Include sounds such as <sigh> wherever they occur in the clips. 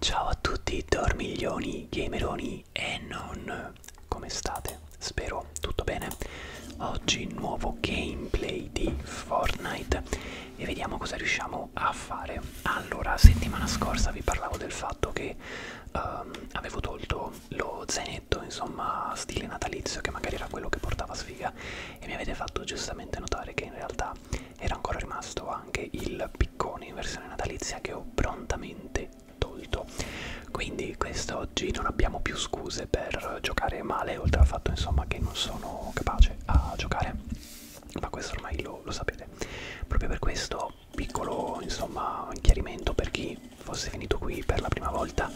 Ciao a tutti dormiglioni, gameroni e non, come state? Spero tutto bene. Oggi nuovo gameplay di Fortnite e vediamo cosa riusciamo a fare. Allora, settimana scorsa vi parlavo del fatto che um, avevo tolto lo zainetto, insomma, stile natalizio, che magari era quello che portava sfiga e mi avete fatto giustamente notare che in realtà era ancora rimasto anche il piccone in versione natalizia che ho prontamente tolto quindi quest'oggi non abbiamo più scuse per giocare male oltre al fatto insomma che non sono capace a giocare ma questo ormai lo, lo sapete proprio per questo piccolo insomma chiarimento per chi fosse finito qui per la prima volta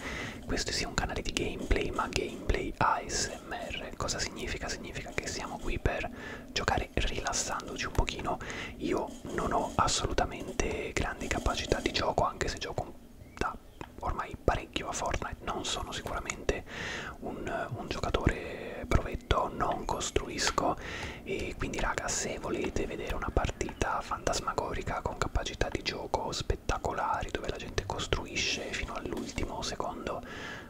questo sia un canale di gameplay ma gameplay ASMR ASMR cosa significa? Significa che siamo qui per giocare rilassandoci un pochino. Io non ho assolutamente grandi capacità di gioco, anche se gioco da ormai parecchio a Fortnite, non sono sicuramente un, un giocatore provetto, non costruisco e quindi raga se volete vedere una partita fantasmagorica con capacità di gioco spettacolari dove la gente costruisce fino all'ultimo secondo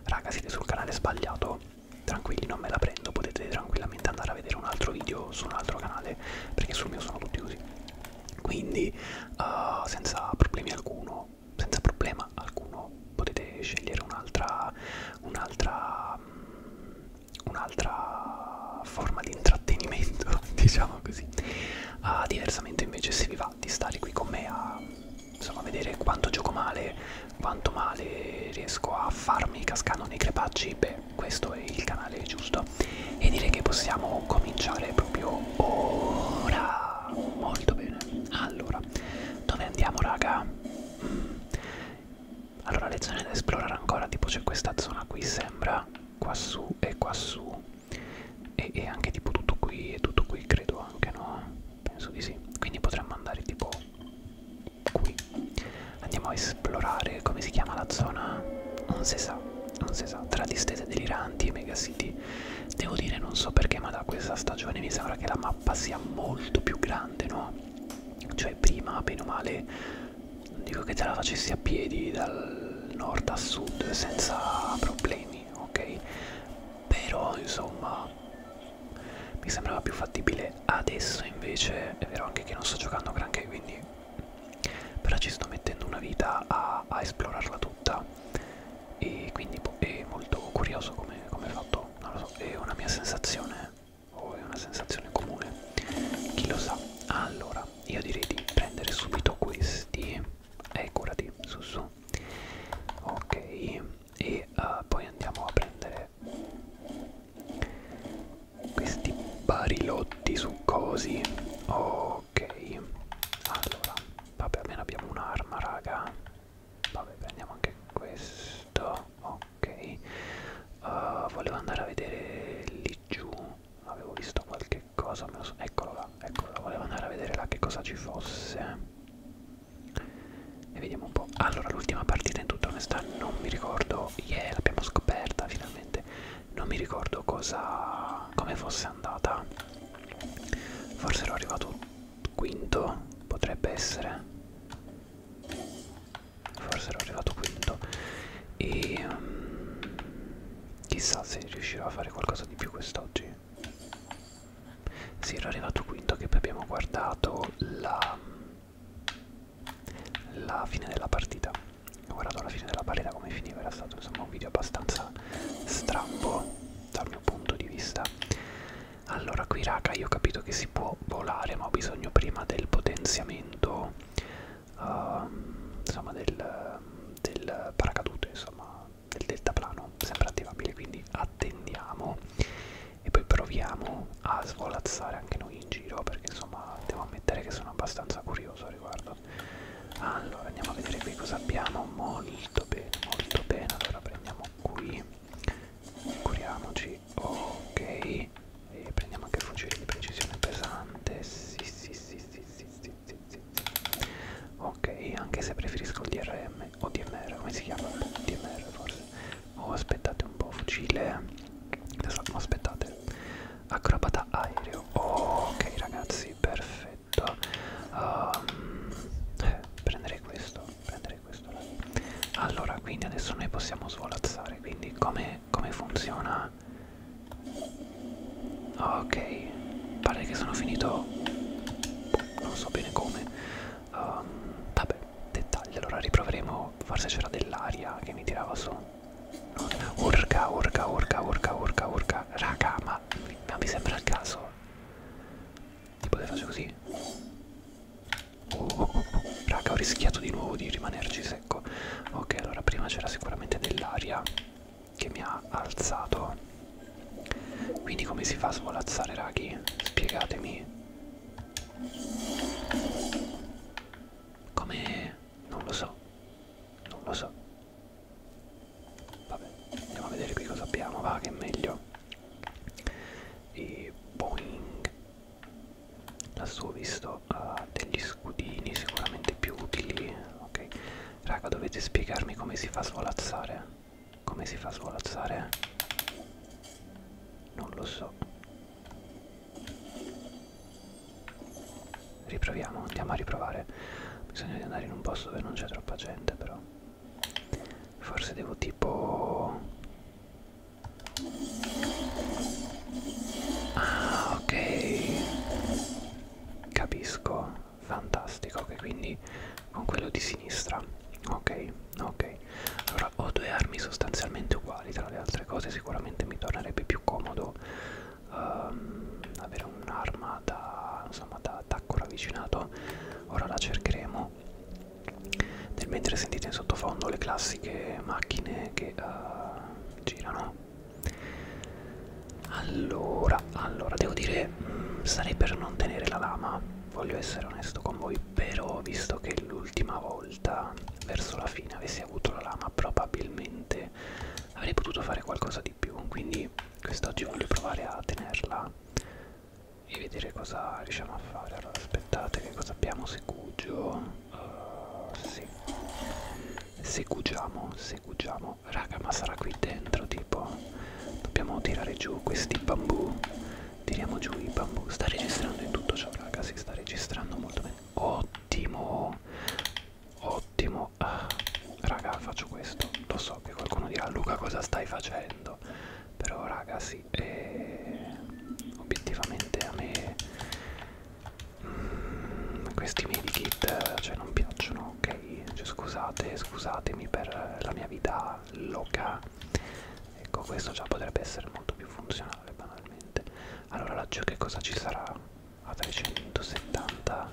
raga siete sul canale sbagliato tranquilli non me la prendo potete tranquillamente andare a vedere un altro video su un altro canale perché sul mio sono tutti così quindi uh, senza problemi alcuno senza problema alcuno potete scegliere un'altra un'altra mm, un'altra forma di intrattenimento <laughs> diciamo così uh, diversamente invece se vi va va di stare qui con me a insomma, vedere quanto gioco male, quanto male riesco a farmi cascando nei crepacci, beh, questo è il canale giusto. E direi che possiamo cominciare proprio ora. Molto bene. Allora, dove andiamo raga? Mm. Allora, le zone da esplorare ancora, tipo c'è questa zona qui, sembra, qua su e qua su e, e anche tipo tutto qui e tutto qui credo anche no penso di sì quindi potremmo andare tipo qui andiamo a esplorare come si chiama la zona non si sa non si sa tra distese deliranti e mega city devo dire non so perché ma da questa stagione mi sembra che la mappa sia molto più grande no cioè prima bene o male non dico che te la facessi a piedi dal nord a sud senza problemi ok? Però insomma mi sembrava più fattibile adesso invece è vero anche che non sto giocando granché quindi però ci sto mettendo una vita a, a esplorarla tutta e quindi boh, è molto curioso come, come è fatto non lo so è una mia sensazione o oh, è una sensazione comune chi lo sa allora io direi di prendere subito questi e curati su su ok e uh, poi andiamo a prendere questi barilotti succosi ok allora vabbè almeno abbiamo un'arma raga vabbè prendiamo anche questo ok uh, volevo andare a vedere lì giù avevo visto qualche che cosa me lo sono... Eccolo là, eccolo là, volevo andare a vedere là che cosa ci fosse. E vediamo un po'. Allora, l'ultima partita in tutta onestà non mi ricordo, yeah, l'abbiamo scoperta finalmente, non mi ricordo cosa... come fosse andata. Forse ero arrivato quinto, potrebbe essere. Forse ero arrivato quinto. E... Um, chissà se riuscirò a fare qualcosa di più quest'oggi sì ero arrivato quinto che poi abbiamo guardato la, la fine della partita ho guardato la fine della partita come finiva era stato insomma un video abbastanza strambo dal mio punto di vista allora qui raga io ho capito che si può volare ma ho bisogno prima del potenziamento uh, insomma del, del paracadute insomma del deltaplano, sempre attivabile, quindi attendiamo e poi proviamo a svolazzare anche noi in giro perché insomma devo ammettere che sono abbastanza curioso al riguardo. Allora andiamo a vedere qui cosa abbiamo, molto bene, molto bene, allora prendiamo qui, curiamoci, ok, e prendiamo anche il fucile di precisione pesante, sì sì sì sì sì sì zitti, zitti. Ok, anche se preferisco il DRM o DMR, come si chiama? DMR forse. Oh, aspettate un po', fucile. Adesso, aspettate. Acrobata aereo. Oh, ok ragazzi, perfetto. Um, eh, prendere questo, prendere questo. Là. Allora, quindi adesso noi possiamo svolazzare. Quindi come, come funziona? Ok, pare che sono finito, non so bene come. Um, vabbè, dettagli, allora riproveremo, forse c'era dell'aria che mi tirava su. Urca, urca, urca, urca, urca, urca. Raga, ma, ma mi sembra il caso. Tipo le faccio così. Oh, oh, oh. Raga, ho rischiato di nuovo di rimanerci secco. Ok, allora prima c'era sicuramente dell'aria che mi ha alzato quindi come si fa a svolazzare raghi spiegatemi come non lo so non lo so vabbè andiamo a vedere qui cosa abbiamo va che è meglio e boing lassù ho visto uh, degli scudini sicuramente più utili ok raga dovete spiegarmi come si fa a svolazzare come si fa a svolazzare non lo so riproviamo andiamo a riprovare bisogna di andare in un posto dove non c'è troppa gente però forse devo tipo ah ok capisco fantastico ok quindi con quello di sinistra ok ok allora ho due armi sostanzialmente uguali tra le altre cose sicuramente mi tornerebbe più comodo um, avere un'arma da insomma da attacco ravvicinato ora la cercheremo nel mentre sentite in sottofondo le classiche macchine che uh, girano allora, allora, devo dire, mh, mm, sarei per non tenere la lama, voglio essere onesto con voi, però visto che l'ultima volta, verso la fine, avessi avuto la lama, probabilmente avrei potuto fare qualcosa di più, quindi quest'oggi voglio provare a tenerla e vedere cosa riusciamo a fare. Allora, aspettate che cosa abbiamo segugio. Uh, eh, sì. Segugiamo, segugiamo raga ma sarà qui dentro tipo dobbiamo tirare giù questi bambù tiriamo giù i bambù sta registrando in tutto ciò raga si sta registrando molto bene ottimo ottimo ah, raga faccio questo lo so che qualcuno dirà Luca cosa stai facendo però raga sì eh, obiettivamente a me mm, questi medikit cioè non piacciono ok cioè, scusate scusatemi per la mia vita loca ecco questo già potrebbe essere molto più funzionale banalmente allora laggiù che cosa ci sarà a 370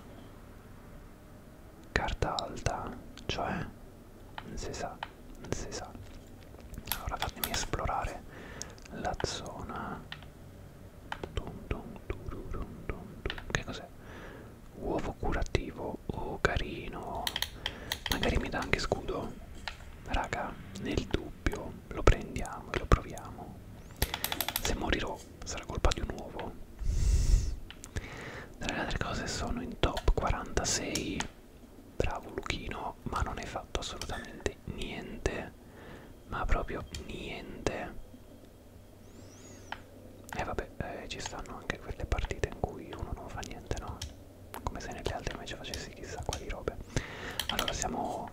carta alta cioè non si sa non si sa allora fatemi esplorare la zona Dun dun dun dun dun. Che cos'è? Uovo curativo. Oh, carino. Magari mi dà anche scudo. Raga, nel dubbio lo prendiamo e lo proviamo. Se morirò sarà colpa di un uovo. Tra le altre cose sono in top 46. Bravo Luchino, ma non hai fatto assolutamente niente. Ma proprio niente. E vabbè, eh, ci stanno anche quelle partite in cui uno non fa niente, no? Come se nelle altre invece facessi chissà quali robe. Allora siamo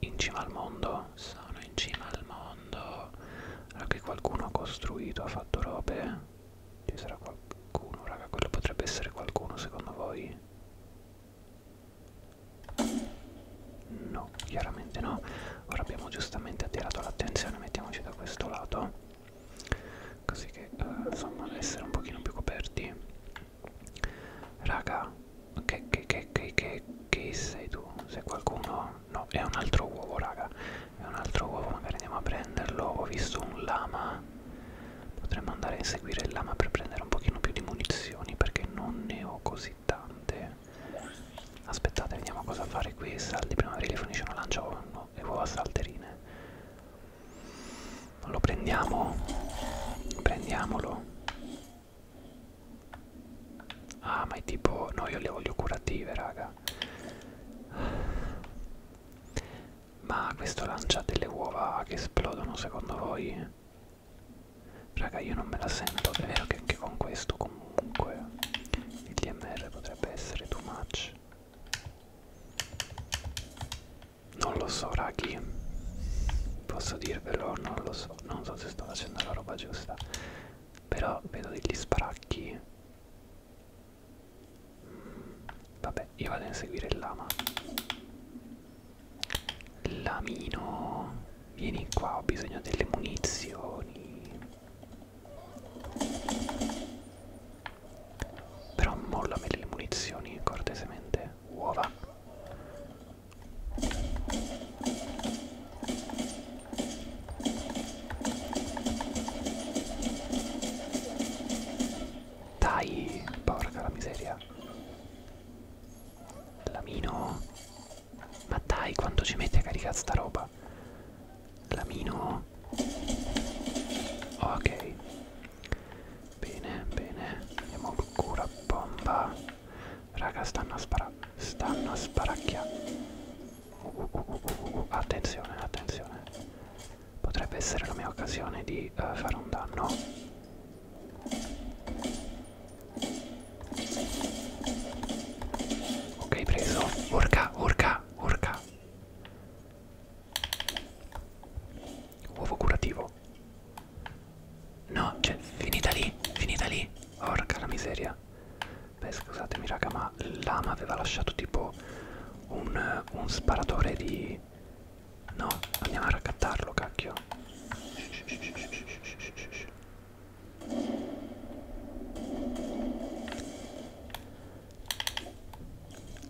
in cima al mondo, sono in cima al mondo. Allora che qualcuno ha costruito, ha fatto robe. Ci sarà qualcuno, raga, quello potrebbe essere qualcuno secondo voi? No, chiaramente no. Ora abbiamo giustamente attirato l'attenzione, mettiamoci da questo lato, così che eh, insomma essere un pochino più coperti. Raga, che, che, che, che, che, che sei tu? Sei qualcuno? No, è un altro uovo, raga. È un altro uovo, magari andiamo a prenderlo. Ho visto un lama. Potremmo andare a inseguire il lama per prendere un pochino più di munizioni perché non ne ho così tante. Aspettate, vediamo cosa fare qui. Saldi primaverili forniscono lancia uomo e uova salterine. Lo prendiamo. Prendiamolo. Ah, ma è tipo. No, io le voglio curative, raga. Ma questo lancia delle uova che esplodono secondo voi? Raga io non me la sento, è vero che anche con questo comunque il DMR potrebbe essere too much. Non lo so raghi, posso dirvelo, non lo so, non so se sto facendo la roba giusta, però vedo degli sparacchi. Mm, vabbè, io vado a inseguire il lama. Lamino, vieni qua, ho bisogno delle munizioni. Però mollami le munizioni cortesemente, uova. Dai, porca la miseria. Lamino, ma dai, quanto ci mette a caricare sta roba? Lamino. Ok. Bene, bene. Andiamo cura bomba. Raga, stanno a sparare. Stanno a sparacchiare. Uh, uh, uh, uh, uh. Attenzione, attenzione. Potrebbe essere la mia occasione di uh, fare un danno. Ok, preso. Urca, urca, urca. Uovo curativo. No, cioè, finita lì, finita lì. Orca la miseria. Beh, scusatemi raga, ma l'ama aveva lasciato tipo un, un sparatore di... No, andiamo a raccattarlo, cacchio.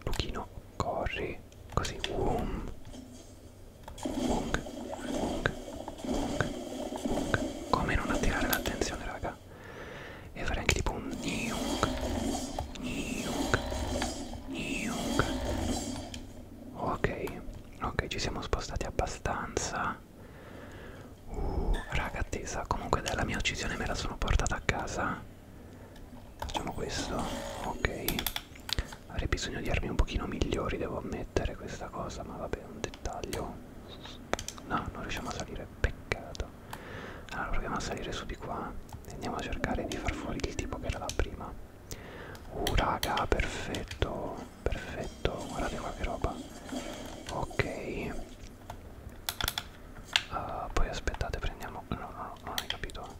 Luchino, corri, così, wum, wung, wung, wung, wung. Come non attirare l'attenzione, raga? E fare anche tipo un niung, niung, niung. Ok ok ci siamo spostati abbastanza uh raga attesa comunque della mia uccisione me la sono portata a casa facciamo questo ok avrei bisogno di armi un pochino migliori devo ammettere questa cosa ma vabbè un dettaglio no non riusciamo a salire peccato allora proviamo a salire su di qua e andiamo a cercare di far fuori il tipo che era là prima Uh raga, perfetto, perfetto, guardate qua che roba. Ok. Uh, poi aspettate, prendiamo... No, no, no, non hai capito.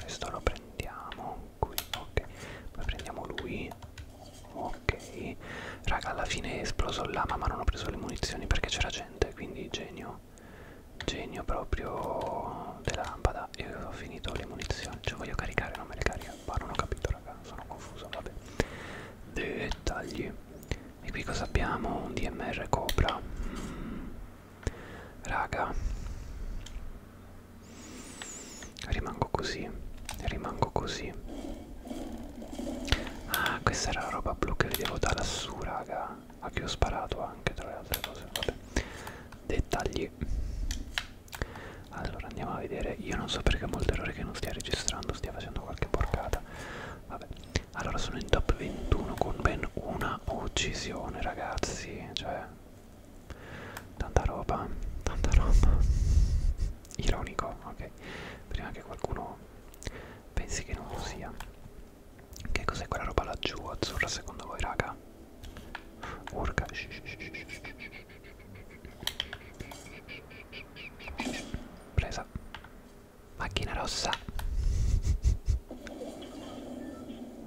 Questo lo prendiamo qui, ok. Poi prendiamo lui. Ok. Raga, alla fine è esploso l'ama, ma non ho preso le munizioni perché c'era gente, quindi genio. Genio proprio della lampada. Io ho finito le munizioni, cioè voglio caricare, non me le carica mappa, non ho capito raga, sono confuso, vabbè. Dettagli. E qui cosa abbiamo? Un DMR Cobra. Mm. Raga. Rimango così, rimango così. Ah, questa era la roba blu che vedevo da lassù, raga. A cui ho sparato anche tra le altre cose, vabbè. Dettagli allora andiamo a vedere io non so perché ho molto errore che non stia registrando stia facendo qualche porcata vabbè allora sono in top 21 con ben una uccisione ragazzi cioè tanta roba tanta roba ironico ok prima che qualcuno pensi che non lo sia che cos'è quella roba laggiù azzurra secondo voi raga urca shh, shh, shh, shh, shh. Presa. Macchina rossa.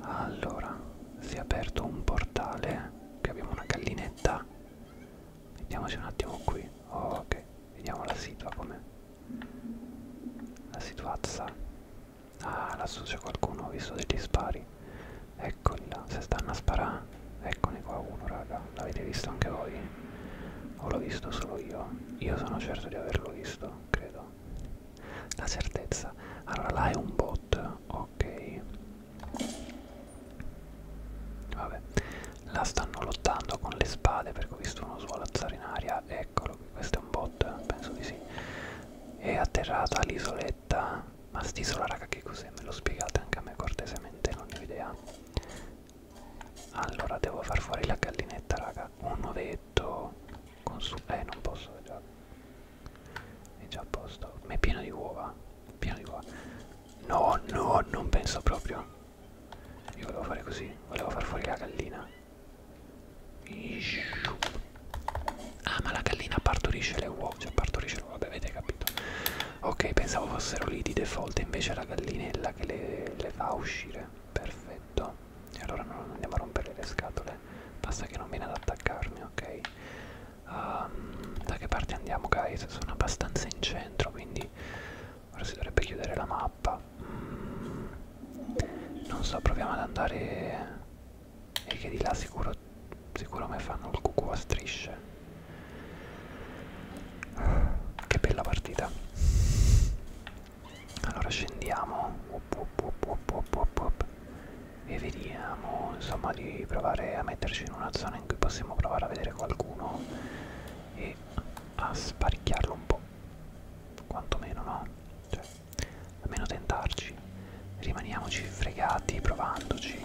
Allora, si è aperto un portale. Qui eh, abbiamo una gallinetta. Vediamoci un attimo qui. Oh, ok, vediamo la situa com'è. La situazza. Ah, lassù c'è qualcuno, ho visto degli spari. È Eccola, se stanno a sparare. Eccone qua uno, raga. L'avete visto anche voi? O l'ho visto solo io? Io sono certo di averlo visto, credo. La certezza. Allora, là è un bot, ok. Vabbè. Là stanno lottando con le spade perché ho visto uno svolazzare in aria. Eccolo qui, questo è un bot, penso di sì. È atterrata all'isola scaletta ma st'isola raga che cos'è me lo spiegate anche a me cortesemente non ne ho idea allora devo far fuori la gallinetta raga un ovetto con su eh non posso è già, è già a posto ma è pieno di uova pieno di uova no no non penso proprio io volevo fare così volevo far fuori la gallina Ah, ma la gallina partorisce le uova, cioè partorisce le uova, vabbè, avete capito. Ok, pensavo fossero lì di default, invece è la gallinella che le, le fa uscire. Perfetto. E allora non andiamo a rompere le scatole, basta che non viene ad attaccarmi, ok? Um, da che parte andiamo, guys? Sono abbastanza in centro, quindi ora si dovrebbe chiudere la mappa. Mm. Non so, proviamo ad andare e che di là sicuro, sicuro me fanno il cucù a strisce che bella partita allora scendiamo up, up, up, up, up, e vediamo insomma di provare a metterci in una zona in cui possiamo provare a vedere qualcuno e a sparicchiarlo un po' quantomeno no? Cioè, almeno tentarci. Rimaniamoci fregati provandoci.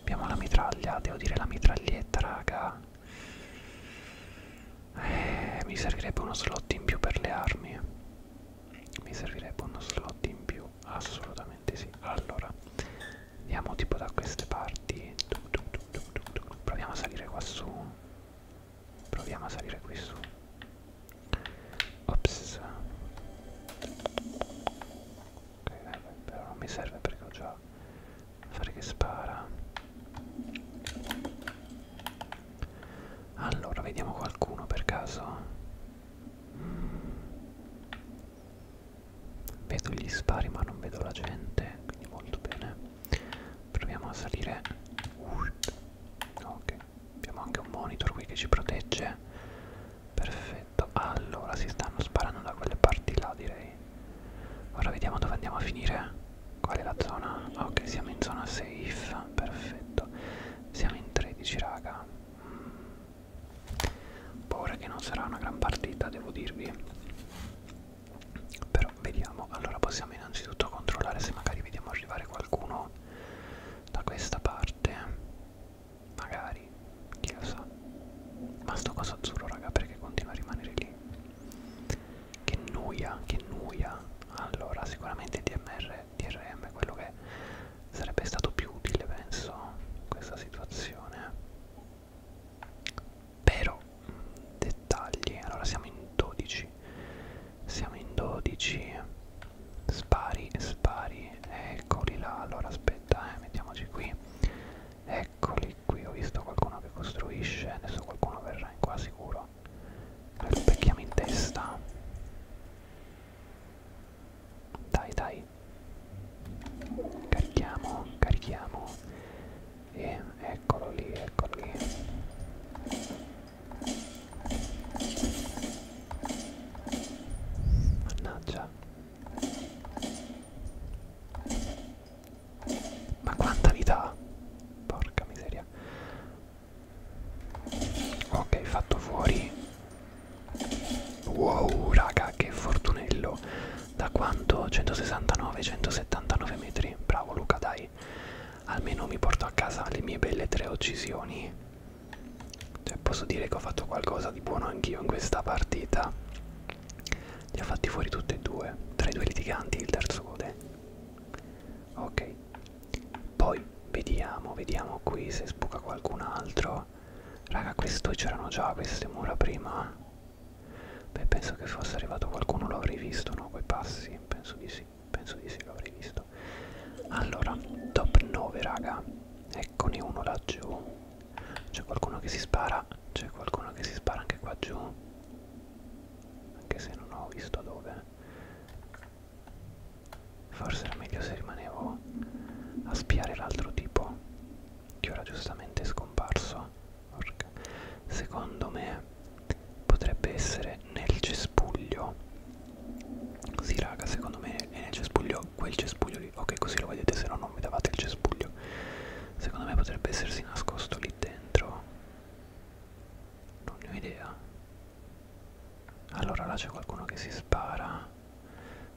Abbiamo la mitraglia, devo dire la mitraglietta, raga. Eh, mi servirebbe uno slot in più per le armi. Mi servirebbe uno slot in più, assolutamente sì. Allora, andiamo tipo da queste parti. Proviamo a salire qua su. Proviamo a salire qui su. Ops. Ok, però non mi serve perché ho già fare che spara. Allora, vediamo qualcuno per caso. Mm. Vedo gli spari ma non vedo la gente, quindi molto bene. Proviamo a salire. Ok abbiamo anche un monitor qui che ci protegge perfetto allora si stanno sparando da quelle parti là direi ora vediamo dove andiamo a finire qual è la zona ok siamo in zona safe perfetto siamo in 13 raga mm. paura boh, che non sarà una gran partita devo dirvi però vediamo allora possiamo innanzitutto controllare se magari vediamo arrivare qualcuno da questa parte magari chi lo sa ma sto coso azzurro raga perché continua a rimanere lì che noia che noia allora sicuramente DMR DRM è quello che sarebbe stato più utile penso in questa situazione però mm, dettagli allora siamo in 12 siamo in 12 spari spari eccoli là allora aspetta eh, mettiamoci qui eccoli qui ho visto qualcuno che costruisce adesso qualcuno verrà in qua sicuro lo specchiamo in testa dai dai carichiamo carichiamo e eccolo lì eccolo lì Mannaggia. Ma quanta vita ha? Porca miseria. Ok, fatto fuori. Wow, raga, che fortunello. Da quanto? 169, 179 metri. Bravo Luca, dai. Almeno mi porto a casa le mie belle tre uccisioni. Cioè posso dire che ho fatto qualcosa di buono anch'io in questa partita. Li ha fatti fuori tutti e due, tra i due litiganti il terzo gode. Ok. Poi vediamo, vediamo qui se spuca qualcun altro. Raga, questo c'erano già queste mura prima. Beh, penso che fosse arrivato qualcuno, l'avrei visto, no? Quei passi, penso di sì sì, penso di sì, l'avrei visto. Allora, top 9, raga. Eccone uno laggiù. C'è qualcuno che si spara. C'è qualcuno che si spara anche qua giù. Anche se non ho visto dove. Forse era meglio se rimanevo a spiare l'altro tipo. Che ora giustamente è scomparso. Porca. Secondo me potrebbe essere nel cespuglio sì raga secondo me è nel cespuglio quel cespuglio lì ok così lo vedete se no non mi davate il cespuglio secondo me potrebbe essersi nascosto lì dentro non ne ho idea allora là c'è qualcuno che si spara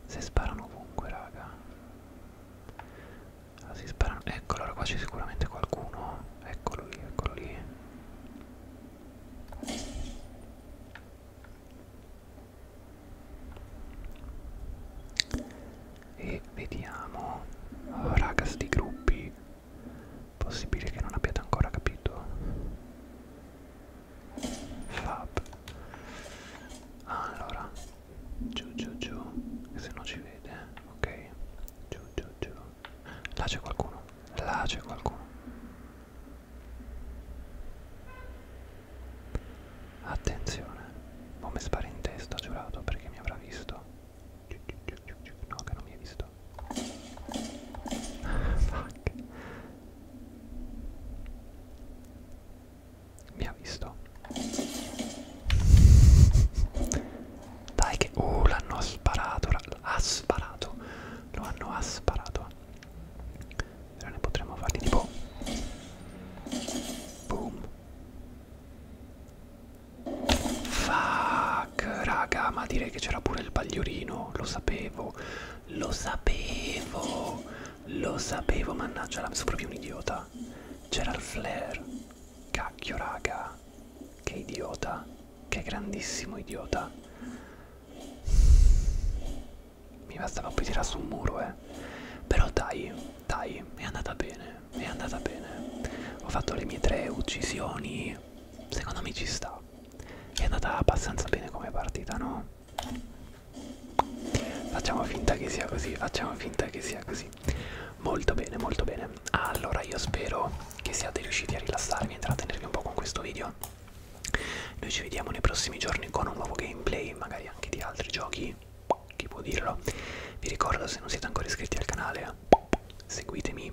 si sparano ovunque raga allora, ah, si sparano ecco allora qua c'è sicuramente qualcuno eccolo lì eccolo lì e vediamo oh, raga sti gruppi possibile che non abbiate ancora capito fab allora giù giù giù che se no ci vede ok giù giù giù Là c'è qualcuno. Là c'è qualcuno. Attenzione. Non mi spari in testa, giurato, perché mi avrà visto. No, che non mi hai visto. <laughs> Fuck. Mi ha visto. Dai che... Uh, l'hanno sparato ha sparato lo hanno asparato però ne potremmo farli tipo boom fuck raga ma direi che c'era pure il bagliorino lo sapevo lo sapevo lo sapevo mannaggia sono proprio un idiota c'era il flare cacchio raga idiota, che idiota, che grandissimo idiota. Mi bastava poi tirare su un muro, eh. Però dai, dai, è andata bene, è andata bene. Ho fatto le mie tre uccisioni, secondo me ci sta. È andata abbastanza bene come partita, no? Facciamo finta che sia così, facciamo finta che sia così. Molto bene, molto bene. Allora io spero che siate riusciti a rilassarvi e trattenervi un po' con questo video. Noi ci vediamo nei prossimi giorni con un nuovo gameplay, magari anche di altri giochi, chi può dirlo. Vi ricordo se non siete ancora iscritti al canale, seguitemi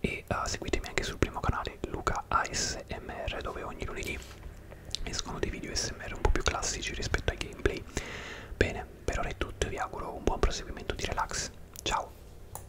e uh, seguitemi anche sul primo canale Luca ASMR dove ogni lunedì escono dei video SMR un po' più classici rispetto ai gameplay. Bene, per ora è tutto e vi auguro un buon proseguimento di relax. Ciao!